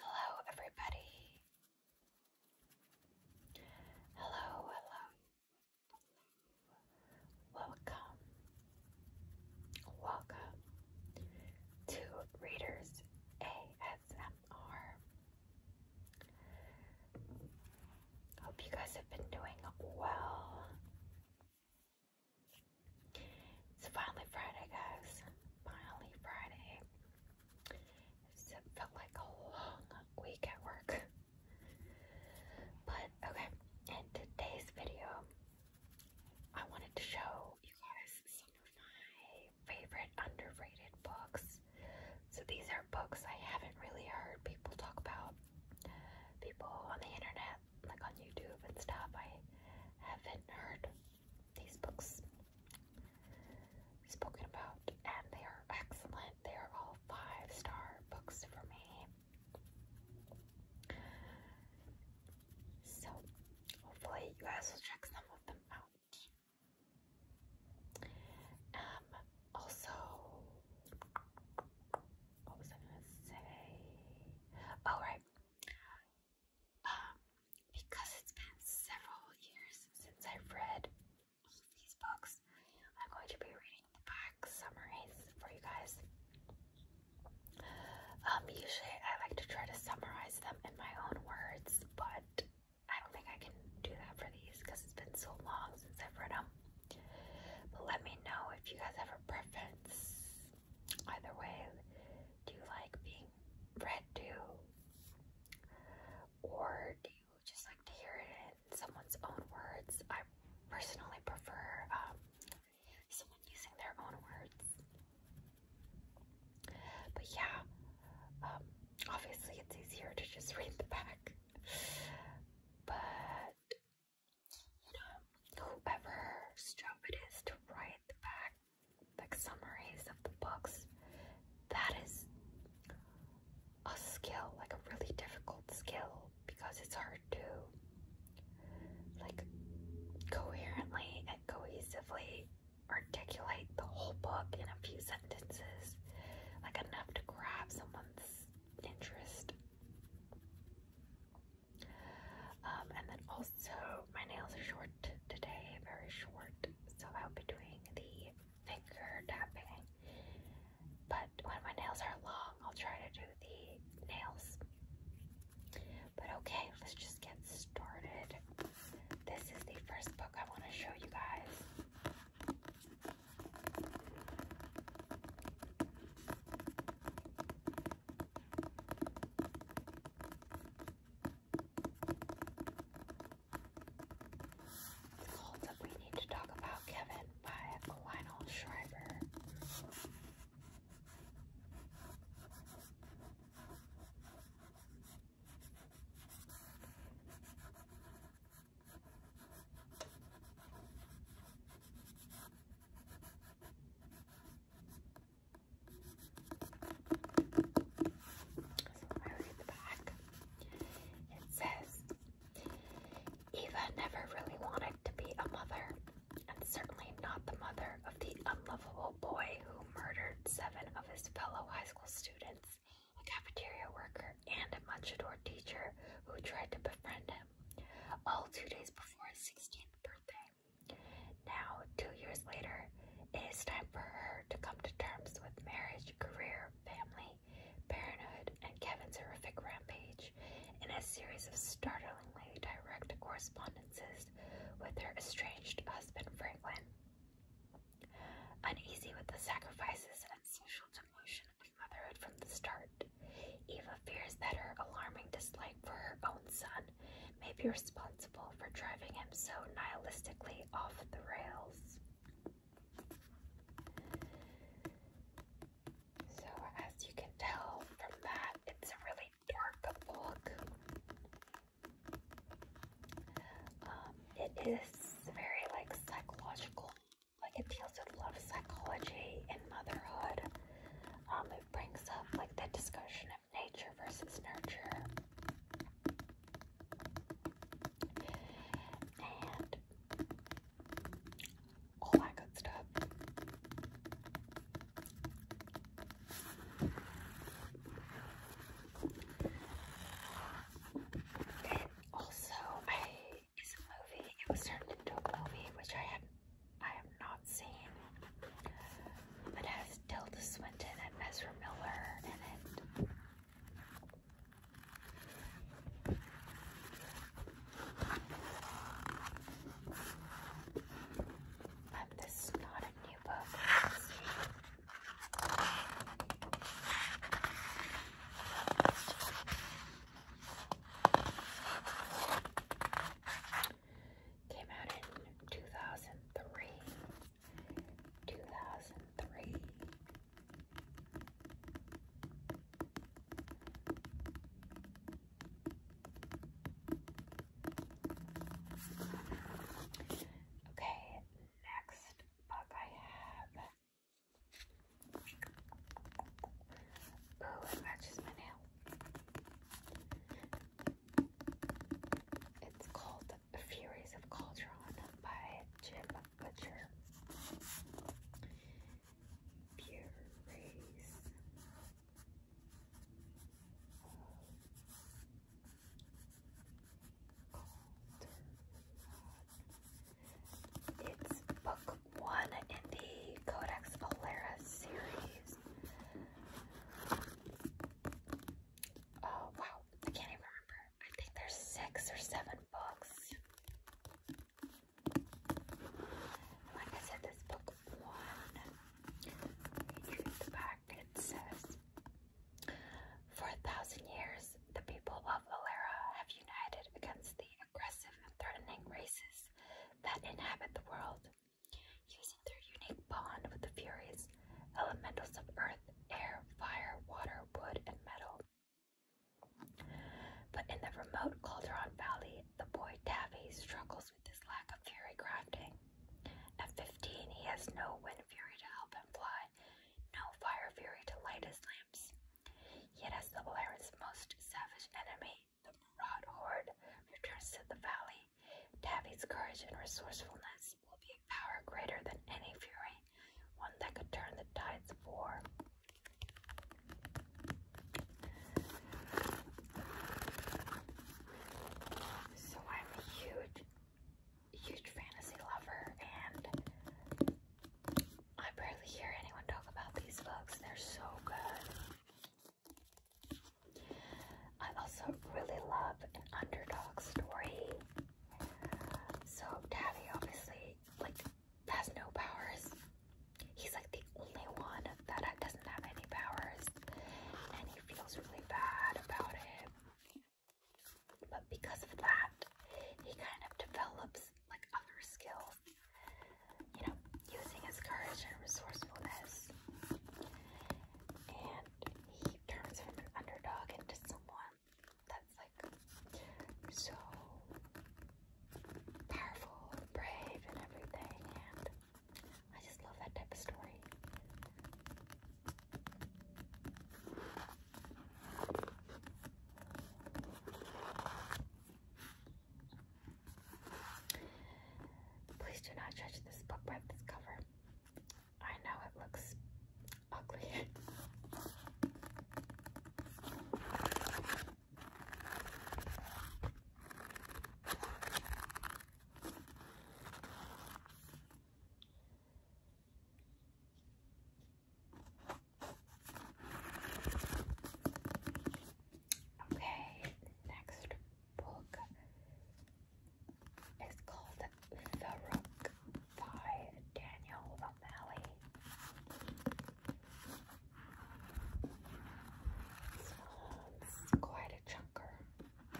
Hello, everybody. Hello, hello. Welcome. Welcome to Readers ASMR. Hope you guys have been doing well. It's finally Friday, guys. Finally Friday. It's, it felt like a long week at work. But okay, in today's video, I wanted to show you guys some of my favorite underrated books. So these are books I haven't really heard people talk about. People on the internet, like on YouTube and stuff, I haven't heard these books spoken about, and they are excellent. They are all five star books for me. So, hopefully, you guys will check some of them out. Um, also, what was I gonna say? Oh, right um, because it's been several years since I've read these books, I'm going to be reading the back summaries for you guys. Um, usually I like to try to summarize them in my own words, but I don't think I can do that for these because it's been so long since I've read them. But let me know if you guys have a preference. Either way, do you like being read to? Or do you just like to hear it in someone's own words? I personally prefer um, someone using their own words. But yeah, um, obviously it's easier to just read the back. But you know, whoever job it is to write the back like summaries of the books, that is a skill, like a really difficult skill because it's hard to like coherently and cohesively articulate the whole book in a few sentences, like enough to grab someone's interest. Um, and then also, my nails are short today, very short. So I'll be doing the finger tapping. But when my nails are long, I'll try to do the nails. But okay, let's just get started. This is the first book I want to show you guys. The cult we need to talk about, Kevin, by Lionel Shriver. So I read the back. It says, Eva never really wanted to be a mother, and certainly not the mother of the unlovable boy who murdered seven of his fellow high school students, a cafeteria worker, and a much adored teacher who tried to befriend him, all two days before his 16th birthday. Now, two years later, it is time for her to come to terms with marriage, career, family, parenthood, and Kevin's horrific rampage in a series of startlingly direct correspondences with her estranged husband, Franklin. Uneasy with the sacrifices and social demotion of motherhood from the start, Eva fears that her alarming dislike for her own son may be responsible for driving him so nihilistically off the rails. So, as you can tell from that, it's a really dark book. Um, it is very like psychological, like it deals with love psychology and motherhood. Um, it brings up like the discussion nature versus nurture. And all that good stuff. And also, I, it's a movie, it was turned into a movie, which I had I have not seen, but has Tilda Swinton and Ezra Miller in it. this is not a new book. Came out in 2003. 2003. Okay, next book I have. Oh, it matches my nail. It's called *The Furies of Cauldron by Jim Butcher. Furies It's book one in the Codex Alera series. Oh, wow. I can't even remember. I think there's six or seven books. like I said, this book one, you read back, it says, For a thousand years, the people of Alera have united against the aggressive and threatening races that inhabit the world. Using their unique bond with the Furies, elementals of earth, air, fire, water, wood, and metal. But in the remote Calderon Valley, the boy Tavi struggles with his lack of fury crafting. At 15, he has no wind fury to help him fly, no fire fury to light his lamps. Yet, has the Polaris' most savage enemy, the Murad horde returns to the valley. Davy's courage and resourcefulness will be a power greater than any fury, one that could turn the tides of war. So I'm a huge, huge fantasy lover, and I barely hear anyone talk about these books. They're so good. I also really love an underdog story. So Tavi obviously like has no powers. He's like the only one that doesn't have any powers and he feels really bad about it. But because of that, he kind of develops like other skills you know, using his courage and resourcefulness. And he turns from an underdog into someone that's like so powerful, brave, and everything. And I just love that type of story. Please do not judge this book by this cover. I know it looks ugly. Okay, next book is called The Rook by Daniel O'Malley. Sounds quite a chunker.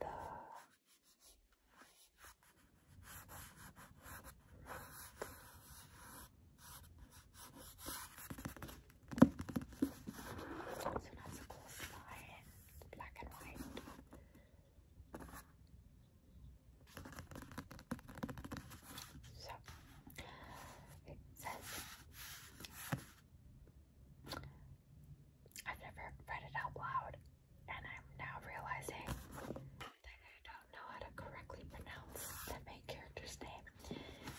The so that's cool style, black and white. So it says I've never read it out loud, and I'm now realizing I don't know how to correctly pronounce the main character's name.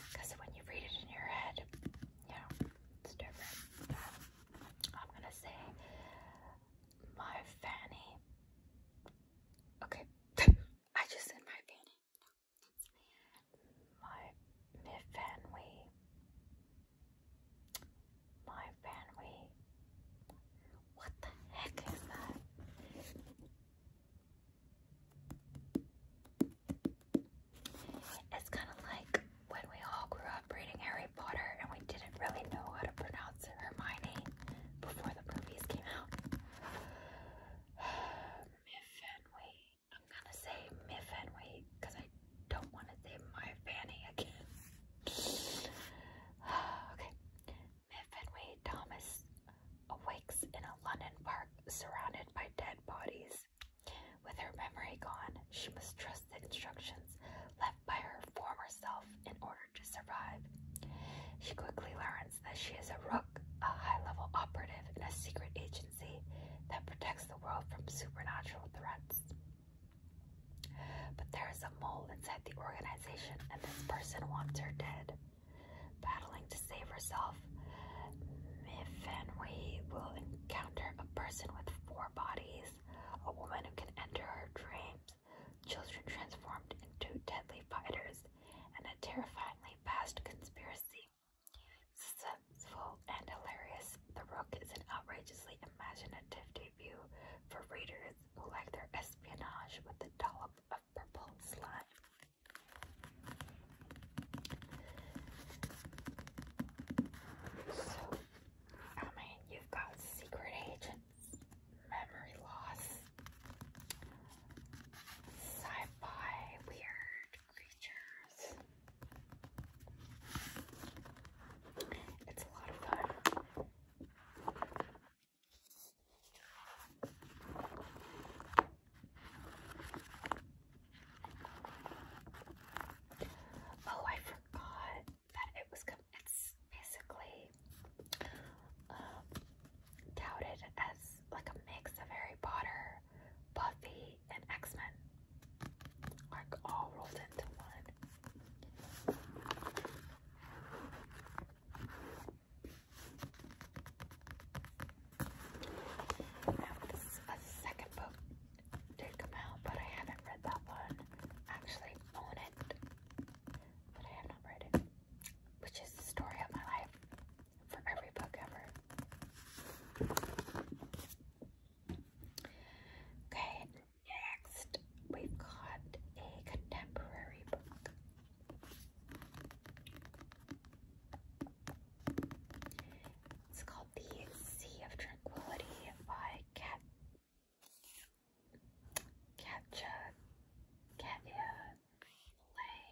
Because when you read it in your head, you know, it's different. I'm gonna say my fanny. Okay. I just said my fanny. My my My fanwy. What the heck is that? It's kind of like when we all grew up reading Harry Potter and we didn't really know how to pronounce Hermione before the movies came out. Miffenway. I'm gonna say Miffenway because I don't want to say my Fanny again. okay. Fenway Thomas awakes in a London park surrounded by dead bodies. With her memory gone, she must trust the instructions left by her former self in order to survive. She quickly learns that she is a rook, a high level operative in a secret agency that protects the world from supernatural threats. But there is mole inside the organization, and this person wants her dead. Battling to save herself, Mifanwe will encounter a person with four bodies, a woman who can enter her dreams, children transformed into deadly fighters, and a terrifyingly vast conspiracy. Successful and hilarious, The Rook is an outrageously imaginative debut for readers like their espionage with a dollop of purple slime. So, I mean, you've got secret agents, memory loss, sci-fi weird creatures. It's a lot of fun. Oh, I forgot that it was. It's basically um, touted as like a mix of Harry Potter, Buffy, and X Men, like all rolled into one this is a second book did come out, but I haven't read that one. actually own it, but I have not read it, which is the story of my life for every book ever. Okay, Next, we've got a contemporary book. It's called The Sea of Tranquility by Kat Katja Katya Lay.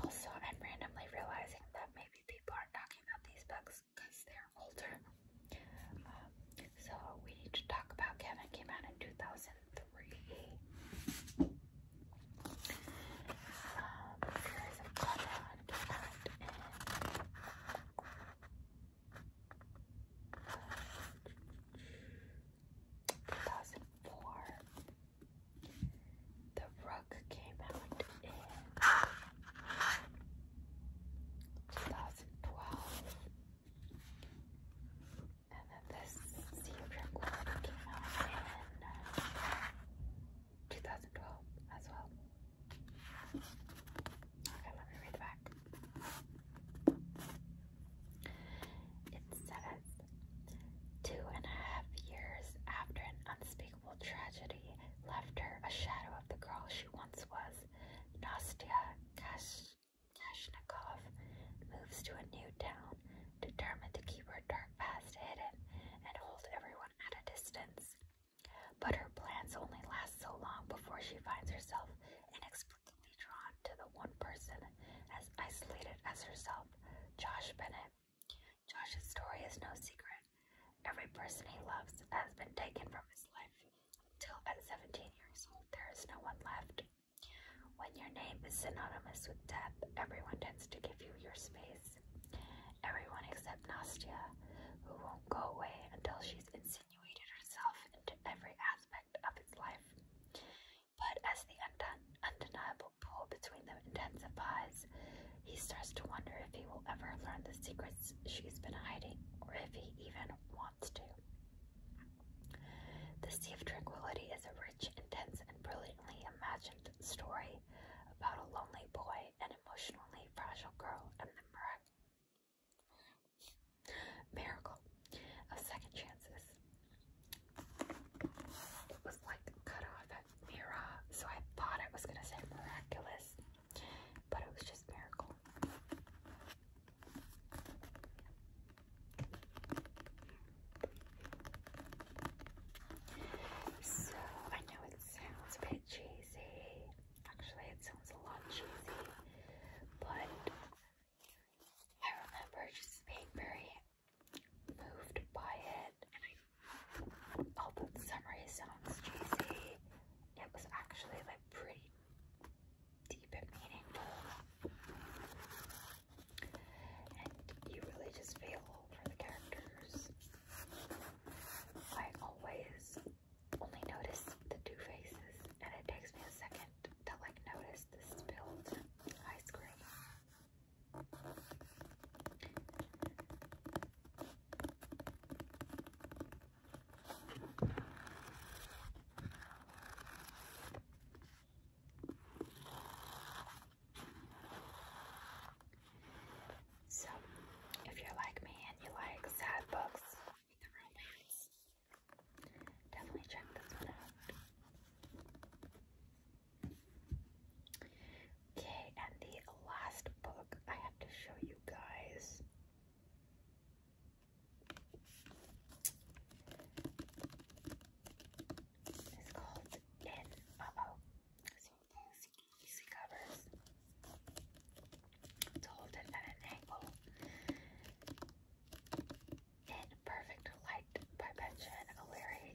Also, I'm randomly realizing that maybe people are talking about these books because they're older. Um, so we need to talk about Kevin came out in 2003. Um, Fears of Cotton came out 2004. The rug came out in 2012. And then this sea came out in 2012 as well. Okay, let me read the back. It says Two and a half years after an unspeakable tragedy left her a shadow of the girl she once was, Nastya Kashnikov moves to a new town, determined to keep her dark past hidden and hold everyone at a distance. But her plans only last so long before she finds herself inexplicably drawn to the one person as isolated as herself, Josh Bennett. Josh's story is no secret. Every person he loves has been taken from his life until at 17 years old there is no one left. When your name is synonymous with death, everyone tends to give you your space. Everyone except Nastia, who won't go away until she's insinuated herself into every aspect of his life. But as the undeniable pull between them intensifies, he starts to wonder if he will ever learn the secrets she's been hiding, or if he even wants to. The Sea of Tranquility is a rich, intense, and brilliantly imagined story about a lonely boy, an emotionally fragile girl, and the miracle of second chances. It was like cut off at Mira, so I thought it was gonna say miraculous, but it was just miracle. So I know it sounds a bit cheesy. Actually, it sounds a lot cheesy, but I remember just being very moved by it. I, although the summary sounds cheesy, it was actually like pretty deep and meaningful. And you really just feel for the characters. I always only notice the two faces, and it takes me a second to like notice the spilled ice cream. So, if you're like me and you like sad books definitely check this one out. Okay, and the last book I have to show you guys is called In Uh Oh. So these easy covers. It's hold it at an angle in Perfect Light by Benjamin O'Leary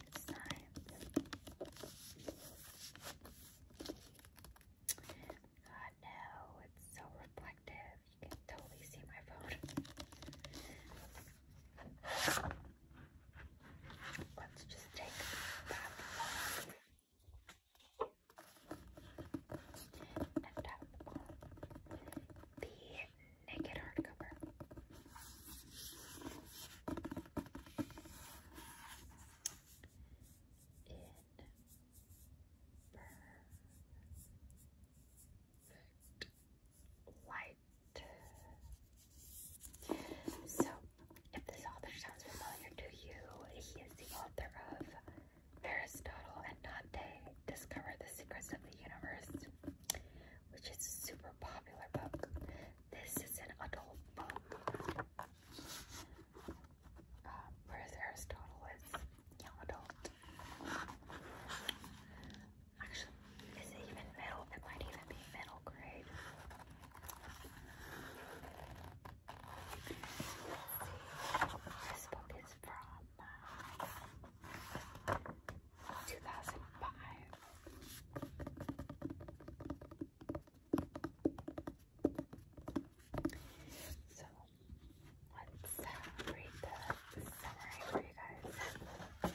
God, no, it's so reflective. You can totally see my phone. Let's just take the naked hardcover. In perfect light. So, if this author sounds familiar to you, he is the author of Aristotle and Dante Discover the Secrets of the Universe, which is a super popular book. This is an adult book. Uh, whereas Aristotle is young adult. Actually, is it even middle? It might even be middle grade. This book is from uh, 2005. So let's read the, summary for you guys. says,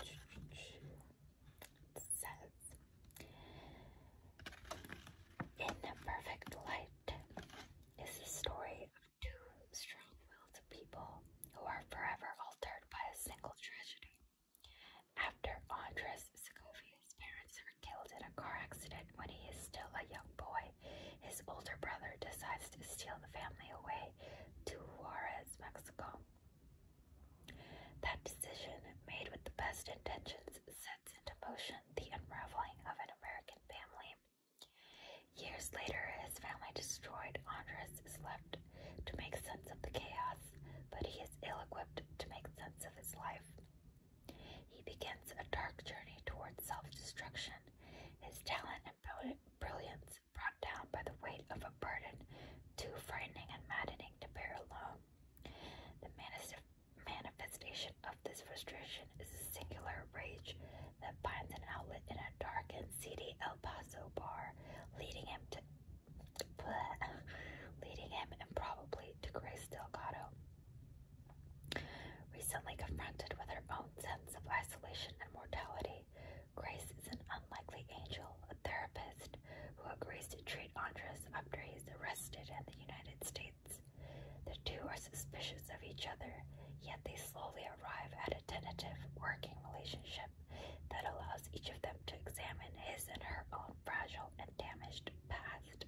In perfect light is the story to strong-willed people who are forever altered by a single tragedy. After Andres Segovia's parents are killed in a car accident when he is still a young boy, his older brother decides to steal the family away to Juarez, Mexico. That decision, made with the best intentions, sets into motion the unraveling of an American family Years later, his family destroyed. Andres is left to make sense of the chaos, but he is ill equipped to make sense of his life. He begins a dark journey towards self destruction, his talent and brilliance brought down by the weight of a burden too frightening and maddening to bear alone. The manifestation of this frustration is a singular rage that finds an outlet in a dark and seedy El Paso bar, leading him to leading him improbably to Grace Delgado. Recently confronted with her own sense of isolation and mortality, Grace is an unlikely angel, a therapist, who agrees to treat Andres after he's arrested in the United States. The two are suspicious of each other, yet they slowly arrive at a tentative working relationship that allows each of them to examine his and her own fragile and damaged past.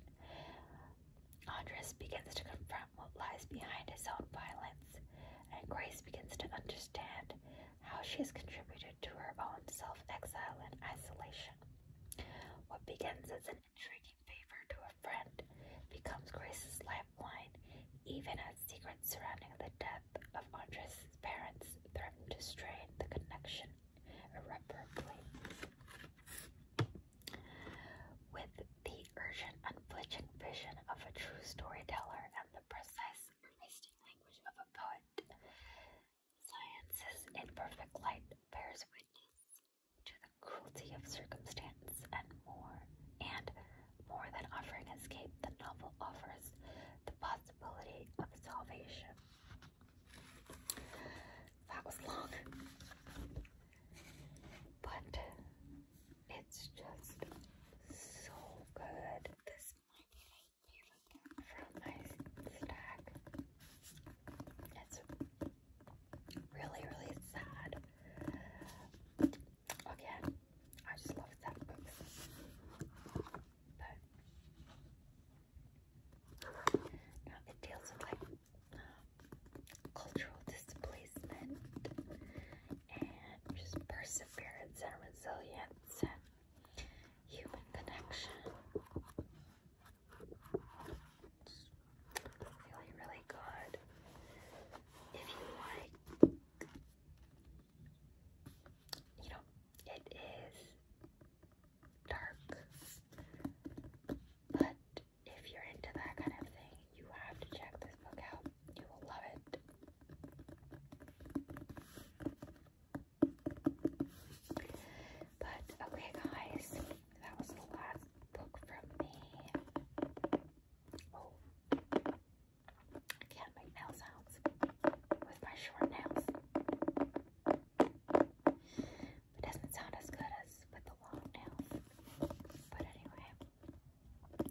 Andres begins to confront what lies behind his own violence, and Grace begins to understand how she has contributed to her own self exile and isolation. What begins as an intriguing favor to a a friend becomes Grace's lifeline, even as secrets surrounding the death of Andres' parents threaten to strain the connection irreparably. With the urgent, unflinching vision of a true storyteller and the precise, arresting language of a poet, Science's Perfect light bears witness to the cruelty of circumstance and more, and more than offering escape, the novel offers the possibility of salvation. That was long, but it's just so good. This might be from my stack. It's Really, really sad. Again, I just love that book. But it deals with like um, cultural displacement and just perseverance and resilience and human connection. It's really, really good. If you like, you know, it is dark, but if you're into that kind of thing, you have to check this book out. You will love it. But okay, guys, that was the last book from me. I can't make nail sounds with my short nails. It doesn't sound as good as with the long nails. But anyway,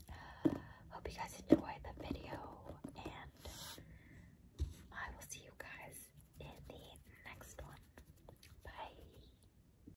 uh, hope you guys enjoyed the video, and I will see you guys in the next one. Bye.